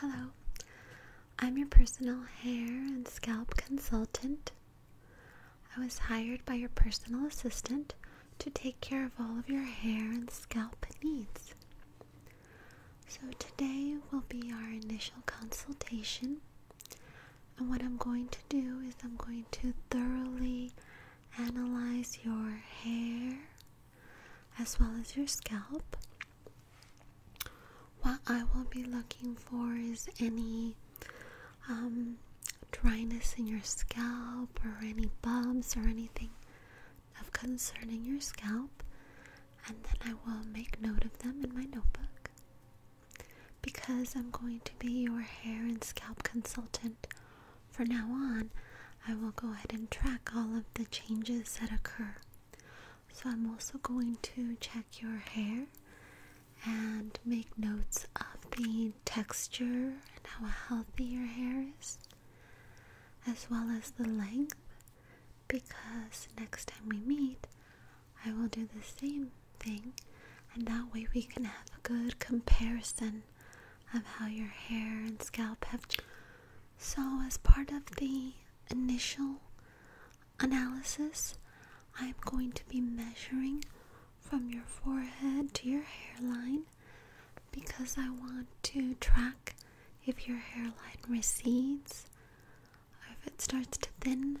Hello, I'm your personal hair and scalp consultant. I was hired by your personal assistant to take care of all of your hair and scalp needs. So, today will be our initial consultation. And what I'm going to do is I'm going to thoroughly analyze your hair as well as your scalp. What I will be looking for is any um, dryness in your scalp or any bumps or anything of concern in your scalp, and then I will make note of them in my notebook. Because I'm going to be your hair and scalp consultant for now on, I will go ahead and track all of the changes that occur. So, I'm also going to check your hair and make notes of the texture and how healthy your hair is, as well as the length, because next time we meet, I will do the same thing, and that way we can have a good comparison of how your hair and scalp have. changed. So, as part of the initial analysis, I'm going to be measuring from your forehead to your hairline because I want to track if your hairline recedes or if it starts to thin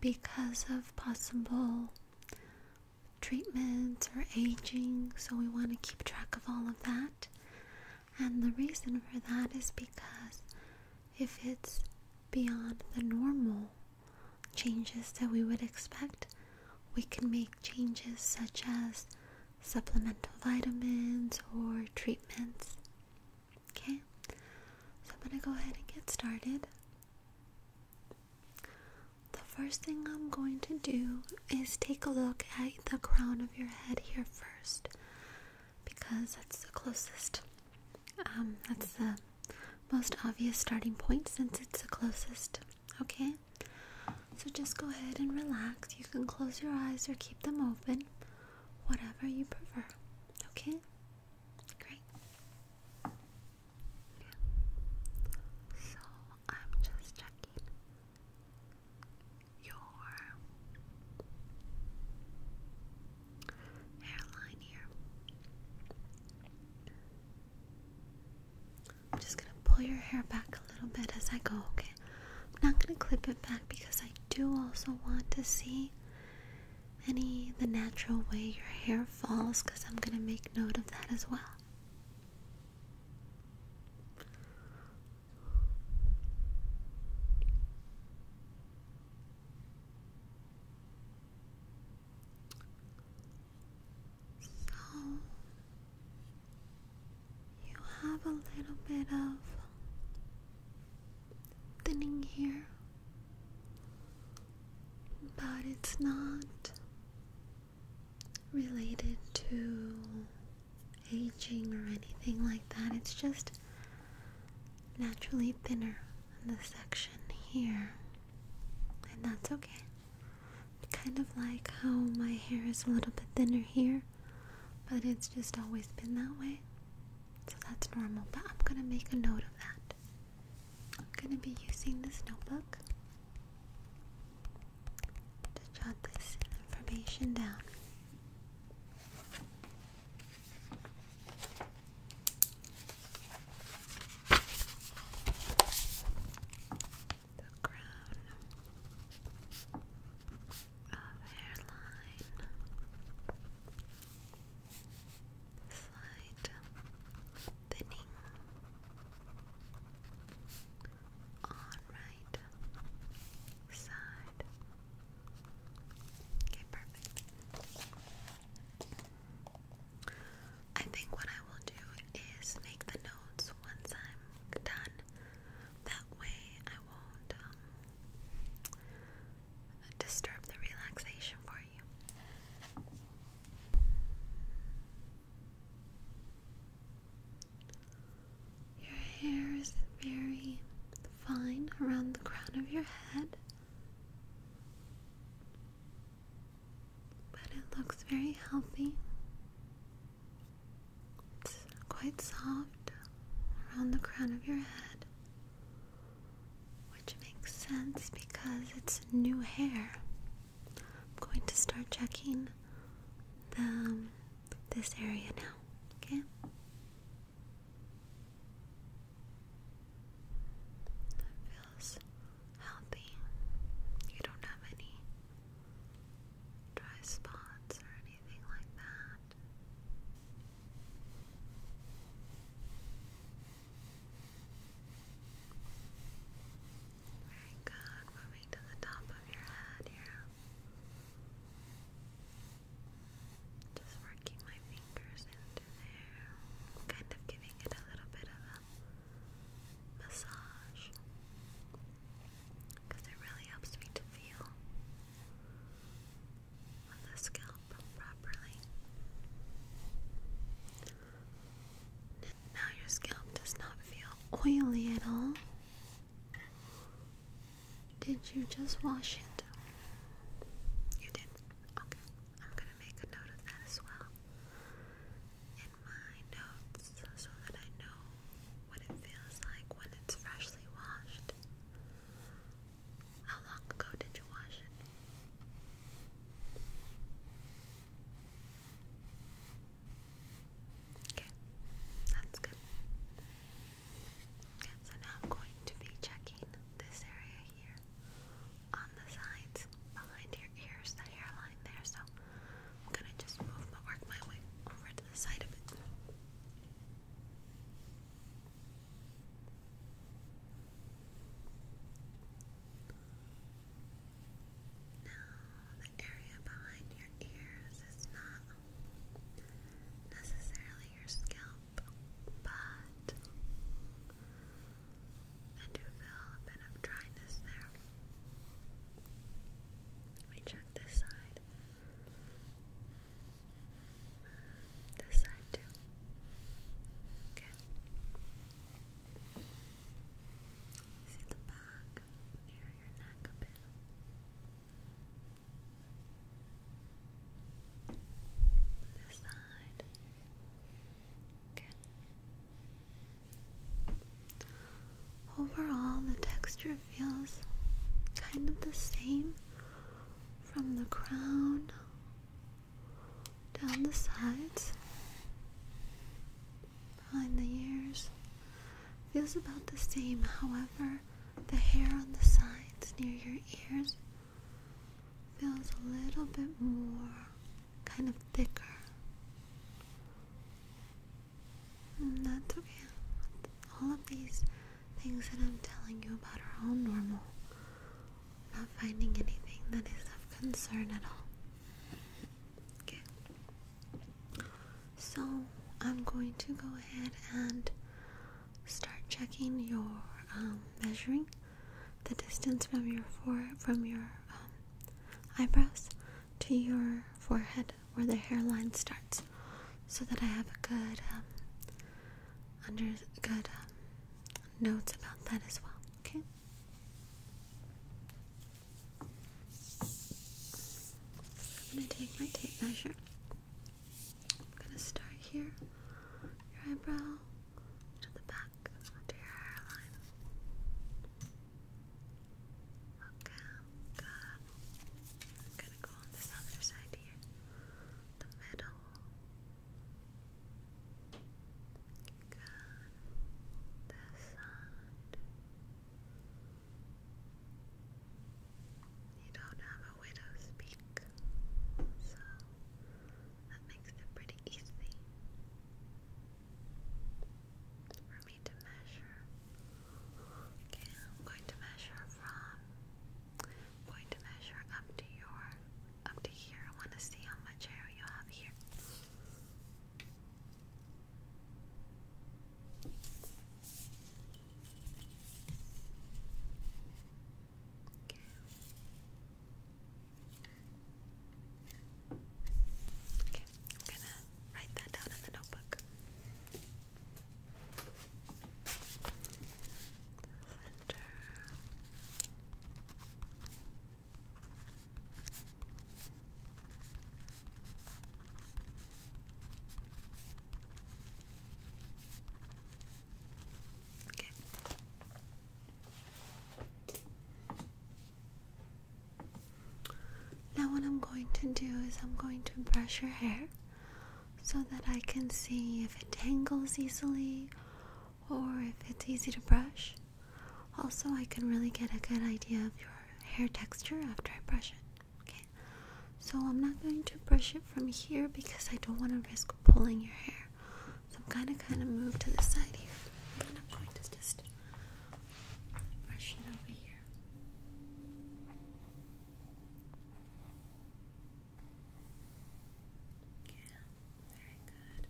because of possible treatments or aging, so we want to keep track of all of that. And the reason for that is because if it's beyond the normal changes that we would expect, we can make changes such as supplemental vitamins or treatments. Okay, so I'm going to go ahead and get started. The first thing I'm going to do is take a look at the crown of your head here first because that's the closest. Um, that's the most obvious starting point since it's the closest. Okay? So just go ahead and relax. You can close your eyes or keep them open, whatever you prefer. Okay? Great. So I'm just checking your hairline here. I'm just gonna pull your hair back a little bit as I go, okay? I'm not gonna clip it back because I do also want to see any the natural way your hair falls because I'm going to make note of that as well. So you have a little bit of thinning here, but it's not related to aging or anything like that. It's just naturally thinner in the section here, and that's okay. Kind of like how my hair is a little bit thinner here, but it's just always been that way. So that's normal, but I'm gonna make a note of that. I'm going to be using this notebook to jot this information down. The crown of hairline. Slight thinning. On side. Okay, perfect. I think what I will do is make the notes once I'm done. That way I won't um, disturb the relaxation for your hair is very fine around the crown of your head, but it looks very healthy. It's quite soft around the crown of your head. Which makes sense because it's new hair. I'm going to start checking um, this area now, okay? feels healthy. You don't have any dry spots or anything like that. Very good. Moving to the top of your head here. Just working my fingers into there. Kind of giving it a little bit of a massage. Because it really helps me to feel on the scalp properly. Now your scalp does not feel oily at all. Did you just wash it? You did. Okay. I'm gonna make a note of that as well in my notes so that I know what it feels like when it's freshly washed. How long ago did you wash it? Okay, that's good. Okay, so now I'm going to be checking this area here on the sides behind your ears, the hairline there. So I'm gonna just move my work my way over to the side of it. Now, the area behind your ears is not necessarily your scalp, but I do feel a bit of dryness there. Let me check this side. This side too. Okay. See the back near your neck a bit. This side. Okay. Overall, the texture feels kind of the same from the crown down the sides, behind the ears. Feels about the same, however, the hair on the sides near your ears feels a little bit more kind of thicker. that's okay. All of these Things that I'm telling you about are all normal. not finding anything that is of concern at all. Okay. So I'm going to go ahead and start checking your um, measuring the distance from your fore from your um, eyebrows to your forehead where the hairline starts, so that I have a good um, under good notes about that as well, okay? I'm gonna take my tape measure. I'm gonna start here, your eyebrow to the back, under your hairline. Okay, good. I'm gonna go on this other side here, the middle. Good. You don't have a widow's peak, so that makes it pretty easy for me to measure. Okay, I'm going to measure from i going to measure up to your up to here. I want to see how much hair you have here. Okay. Okay, I'm gonna write that down in the notebook. Now, what I'm going to do is, I'm going to brush your hair so that I can see if it tangles easily or if it's easy to brush. Also, I can really get a good idea of your hair texture after I brush it. Okay, so I'm not going to brush it from here because I don't want to risk pulling your hair. So I'm gonna kind of move to the side here, and I'm going to just brush it over here. Yeah, very good.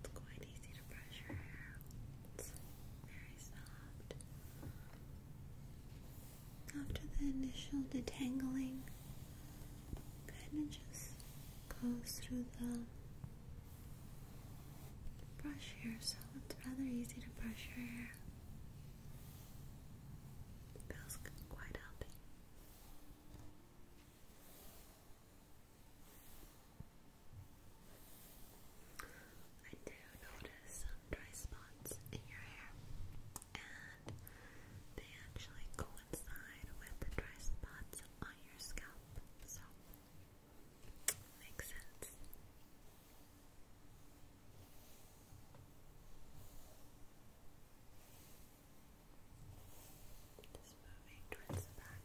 It's quite easy to brush your hair. It's very soft. After the initial detangling, kind of just goes through the brush here, so it's rather easy to brush your hair. feels quite healthy. I do notice some dry spots in your hair, and they actually coincide with the dry spots on your scalp, so makes sense. Just moving towards the back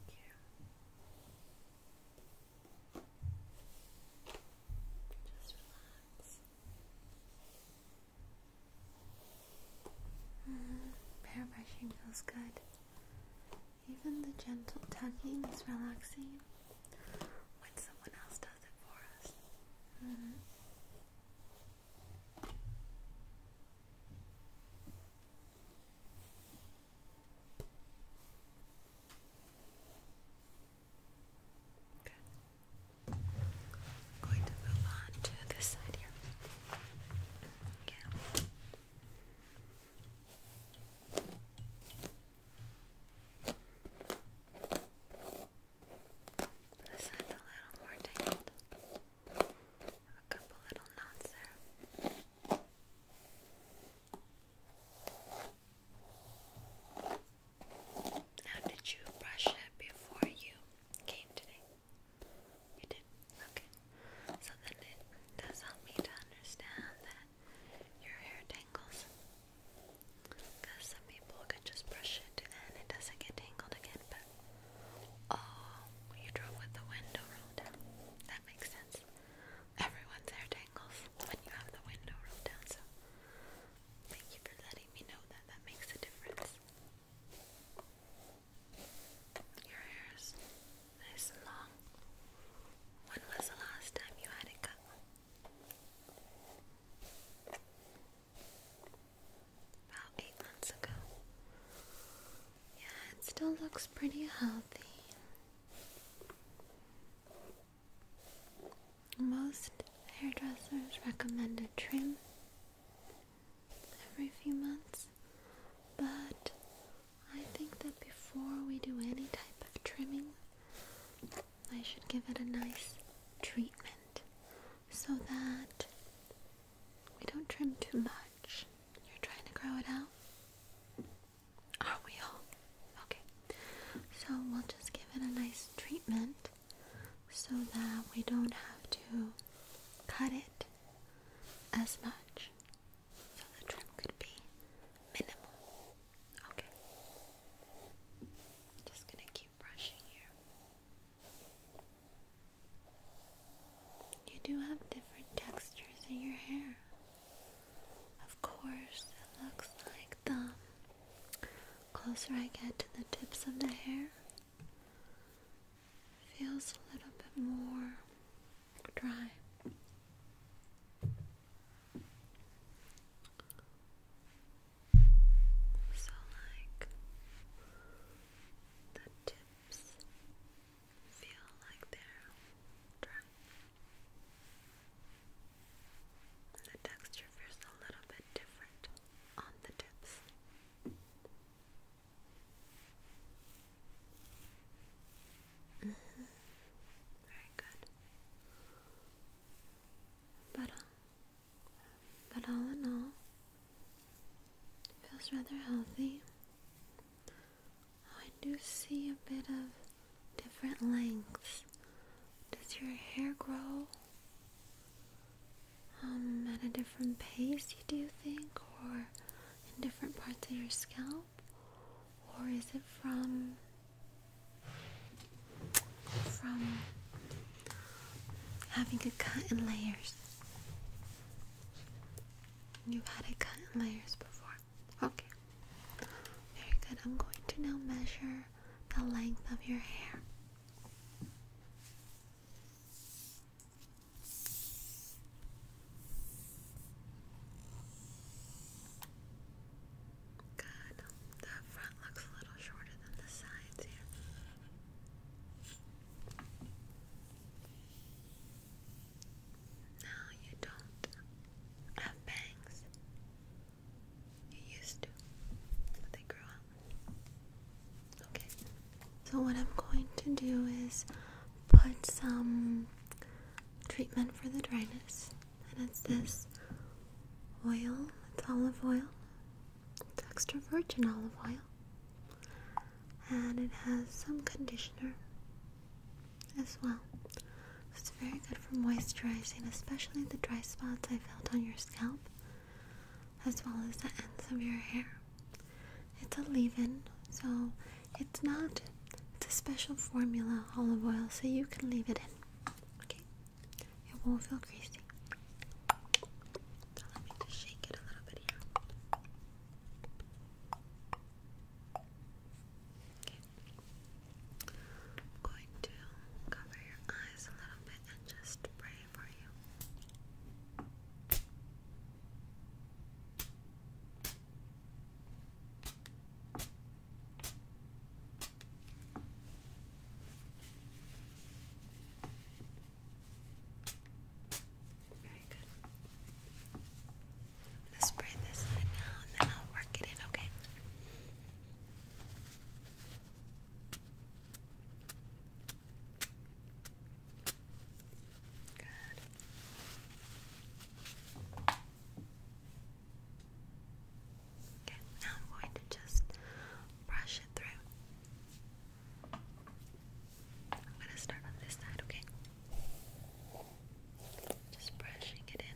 Just relax. Mm, hair brushing feels good. Even the gentle tugging is relaxing when someone else does it for us. -hmm. Okay. i going to move on to this side here. Yeah. This is a little more tangled. A couple little knots there. Now, did you brush it before you came today? You did? Okay. So then it does help me to understand that your hair tangles because some people can just brush it and it doesn't get tangled again, but oh, you drove with the window rolled down. That makes sense. Everyone's hair tangles when you have the window rolled down, so thank you for letting me know that. That makes a difference. Your hair is nice and long. When was the last time you had it cut? about eight months ago. Yeah, it still looks pretty healthy. Most hairdressers recommend a trim every few months, but I think that before we do any type of trimming, I should give it a nice treatment so that we don't trim too much. You're trying to grow it out? Are we all? Okay. So we'll just give it a nice treatment so that we don't have to cut it as much. So the trim could be minimal. Okay. Just gonna keep brushing here. You do have different textures in your hair. Of course, it looks like the closer I get to the tips of the hair, feels a little bit more dry. So, like, the tips feel like they're dry. The texture feels a little bit different on the tips. Mm-hmm. Very good. But um, but all in all, it feels rather healthy. Oh, I do see a bit of different lengths. Does your hair grow um, at a different pace, You do think, or in different parts of your scalp? Or is it from from having a cut in layers. You've had a cut in layers before. Okay. Very good. I'm going to now measure the length of your hair. Good the front looks a little shorter than the sides Now you don't have bangs. You used to, but they grew out. Okay. So what I'm going to do is put some treatment for the dryness, and it's this oil. It's olive oil extra virgin olive oil. And it has some conditioner as well. It's very good for moisturizing, especially the dry spots I felt on your scalp, as well as the ends of your hair. It's a leave-in, so it's not, it's a special formula olive oil, so you can leave it in. Okay, it won't feel greasy. Now let me just shake it a little bit here. Okay. I'm going to cover your eyes a little bit and just pray for you. Very good. I'm gonna spray this out now and then I'll work it in, okay? Good. Okay, now I'm going to just brush it through. I'm going to start on this side, okay? Just brushing it in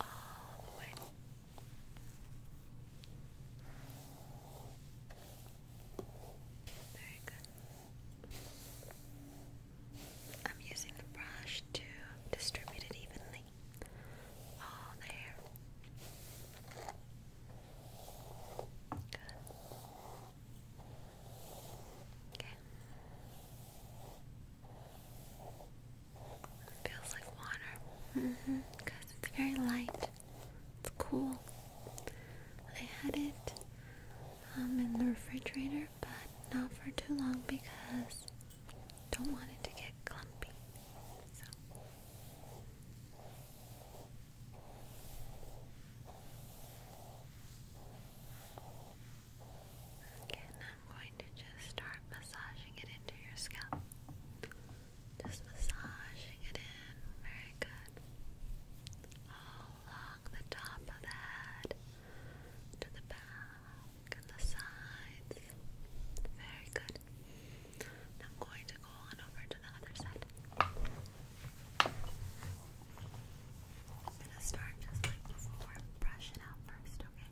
all the way. Very good. I'm using the brush to distribute it evenly all oh, there. Good. Okay. feels like water. hmm. Because it's very light. It's cool. I had it um, in the refrigerator, but not for too long because I don't want it to get clumpy. So Again, I'm going to just start massaging it into your scalp. Just massaging it in. Very good. All along the top of the head, to the back and the sides. Very good. And I'm going to go on over to the other side. I'm going to start just before, brush out first, Okay.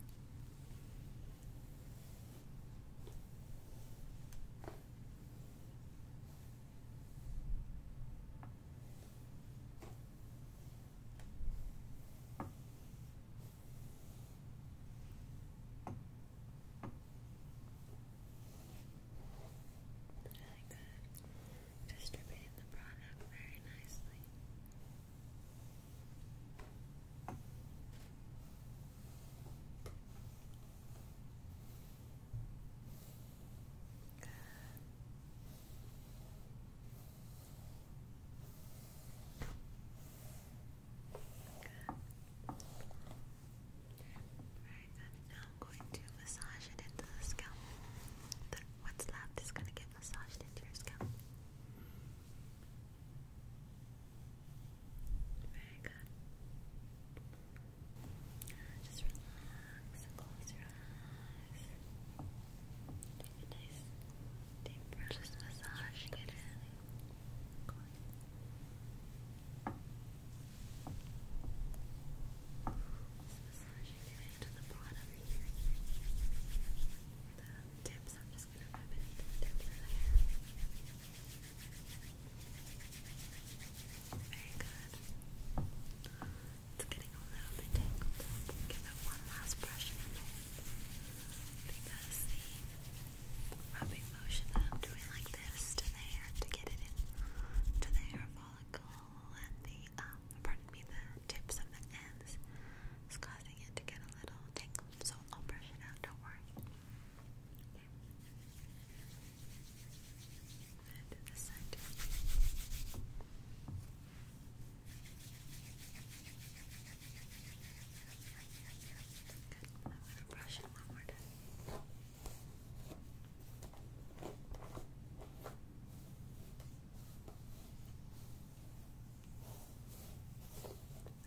Really good. Distributing the product very nicely. Alright then, now I'm going to massage it into the scalp. what's left is going to get massaged into your scalp. Very good. Just relax and close your eyes. Take a nice deep Just massaging it in massaging your way to the bottom. The tips, I'm just going to rub it Very good. It's getting a little bit tangled Give it one last brush because rubbing motion doing like this to there to get it in to the hair follicle and the um pardon me the tips of the ends is causing it to get a little tangled so I'll brush it out don't worry and the side I'm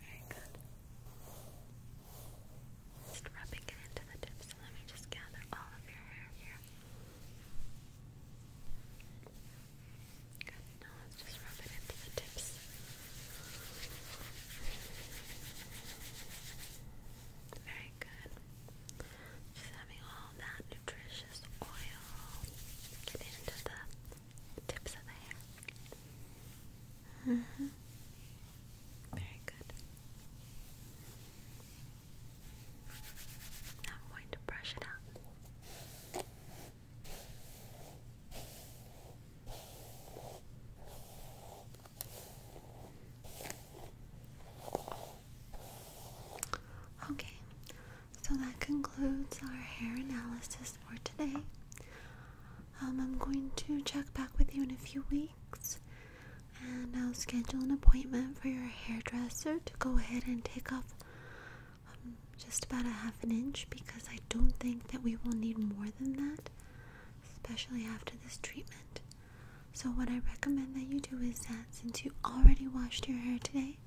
Very good. Just rubbing it into the tips let me just gather all of your hair here. Good, just rub it into the tips. Very good. Just having all that nutritious oil get into the tips of the hair. Mm-hmm. Very good. Now I'm going to brush it out. Okay, so that concludes our hair analysis for today. Um, I'm going to check back with you in a few weeks and I'll schedule an appointment for your hairdresser to go ahead and take off um, just about a half an inch because I don't think that we will need more than that especially after this treatment. So, what I recommend that you do is that since you already washed your hair today,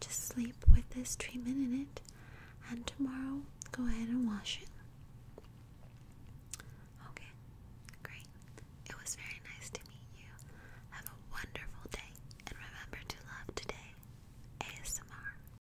just sleep with this treatment in it, and tomorrow go ahead and wash it. Okay, great. It was very nice to meet you. Have a wonderful day, and remember to love today. ASMR.